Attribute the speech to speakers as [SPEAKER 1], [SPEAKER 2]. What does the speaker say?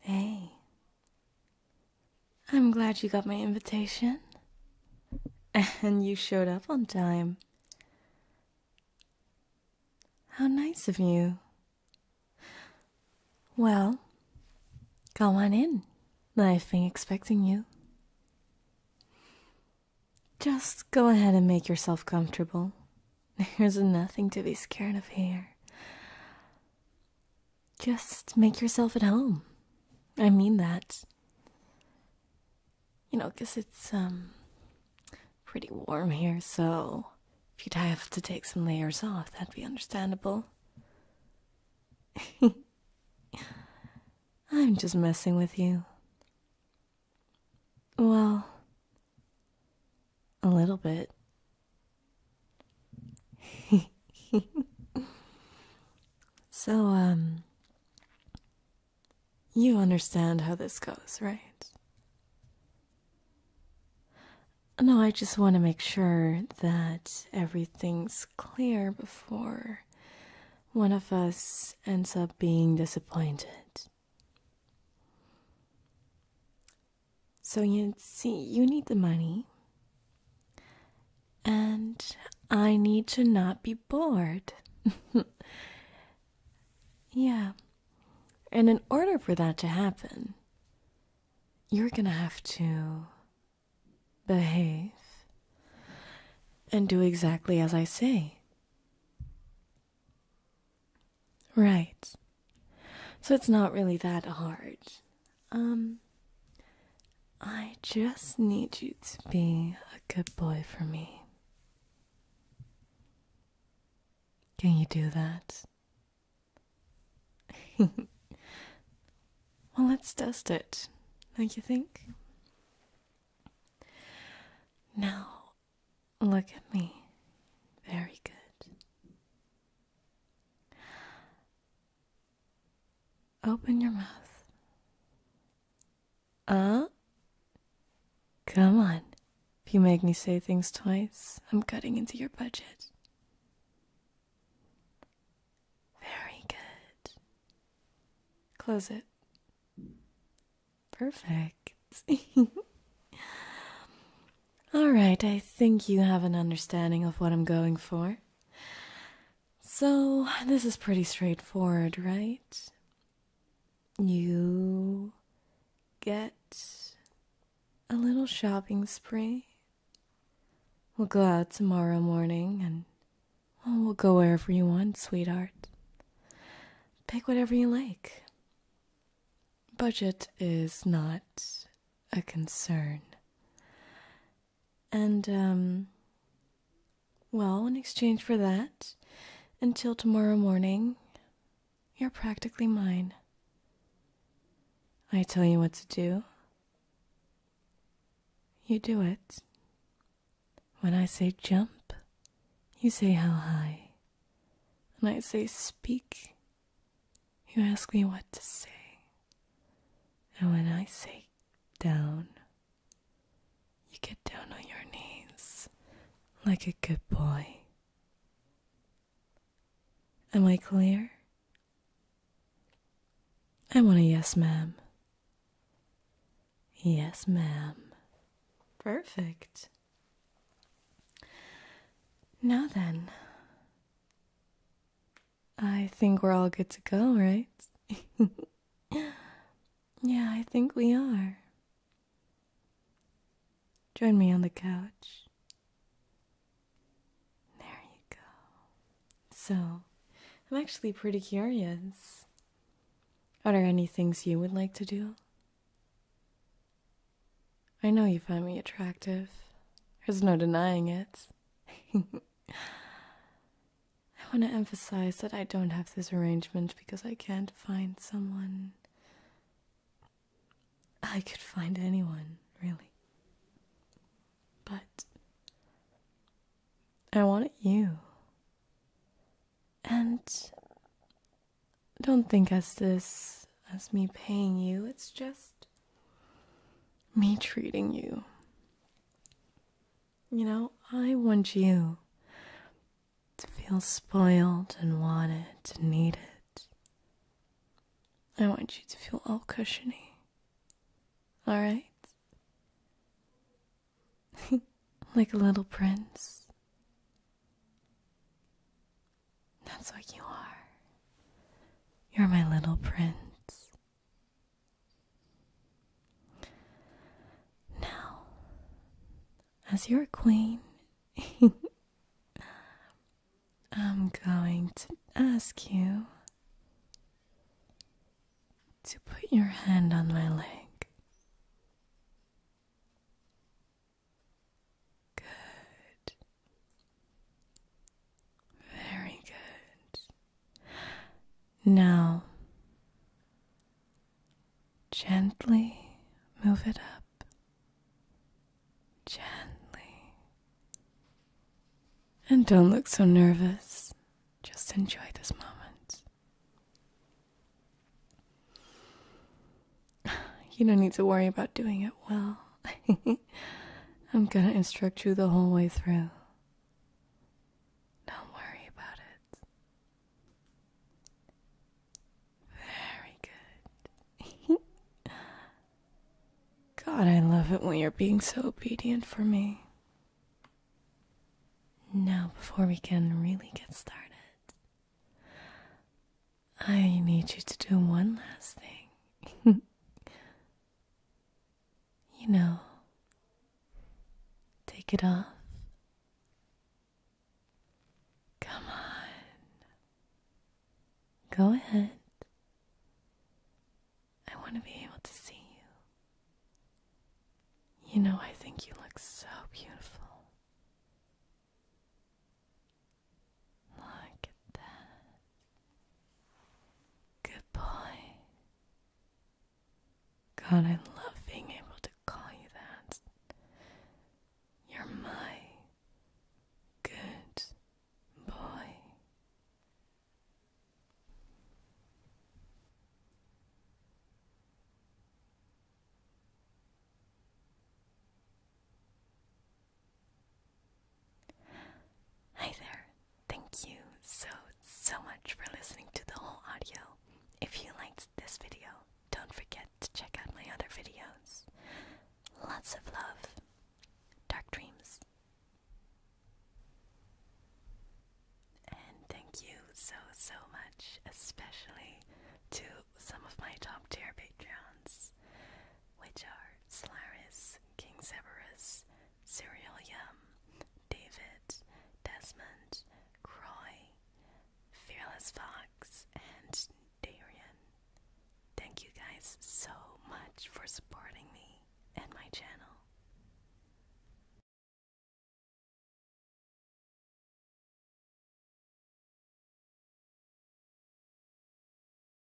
[SPEAKER 1] Hey, I'm glad you got my invitation. And you showed up on time. How nice of you. Well, come on in. I've been expecting you. Just go ahead and make yourself comfortable. There's nothing to be scared of here. Just make yourself at home. I mean that. You know, because it's, um, pretty warm here, so if you'd have to take some layers off, that'd be understandable. I'm just messing with you. Well, a little bit. so, um, you understand how this goes, right? No, I just want to make sure that everything's clear before one of us ends up being disappointed. So you see, you need the money. And I need to not be bored. yeah. And in order for that to happen, you're gonna have to behave and do exactly as I say. Right. So it's not really that hard. Um, I just need you to be a good boy for me. Can you do that? well, let's test it, don't you think? Now, look at me. Very good. Open your mouth. Uh? Come on. If you make me say things twice, I'm cutting into your budget. Very good. Close it. Perfect. All right, I think you have an understanding of what I'm going for. So, this is pretty straightforward, right? You get a little shopping spree. We'll go out tomorrow morning and we'll go wherever you want, sweetheart. Pick whatever you like. Budget is not a concern. And, um, well, in exchange for that, until tomorrow morning, you're practically mine. I tell you what to do. You do it. When I say jump, you say how high. When I say speak, you ask me what to say, and when I say down, you get down on your knees like a good boy. Am I clear? I want a yes, ma'am. Yes, ma'am. Perfect. Now then, I think we're all good to go, right? yeah, I think we are. Join me on the couch. There you go. So, I'm actually pretty curious. Are there any things you would like to do? I know you find me attractive. There's no denying it. I want to emphasize that I don't have this arrangement because I can't find someone. I could find anyone, really. But I wanted you. And don't think as this as me paying you, it's just me treating you. You know, I want you to feel spoiled and wanted and needed. I want you to feel all cushiony. Alright? like a little prince. That's what you are. You're my little prince. Now, as your queen, I'm going to ask you to put your hand on my leg. Good. Very good. Now, gently move it up. Gently. And don't look so nervous. Just enjoy this moment. You don't need to worry about doing it well. I'm gonna instruct you the whole way through. Don't worry about it. Very good. God, I love it when you're being so obedient for me. Now, before we can really get started, I need you to do one last thing. you know, take it off. Come on. Go ahead. I want to be able to see you. You know, I think you look so beautiful. Look at that. Good boy. God, I love being able to call you that. You're my good boy. Hi there. Thank you so, so much for listening to the whole audio. If you liked this video, don't forget to check out my other videos. Lots of love. Dark dreams. And thank you so, so much, especially to some of my top tier Patreons which are Solaris, King Severus, Ceruleum, David, Desmond, Croy, Fearless Fox, and Darian. Thank you guys so much for supporting me and my channel.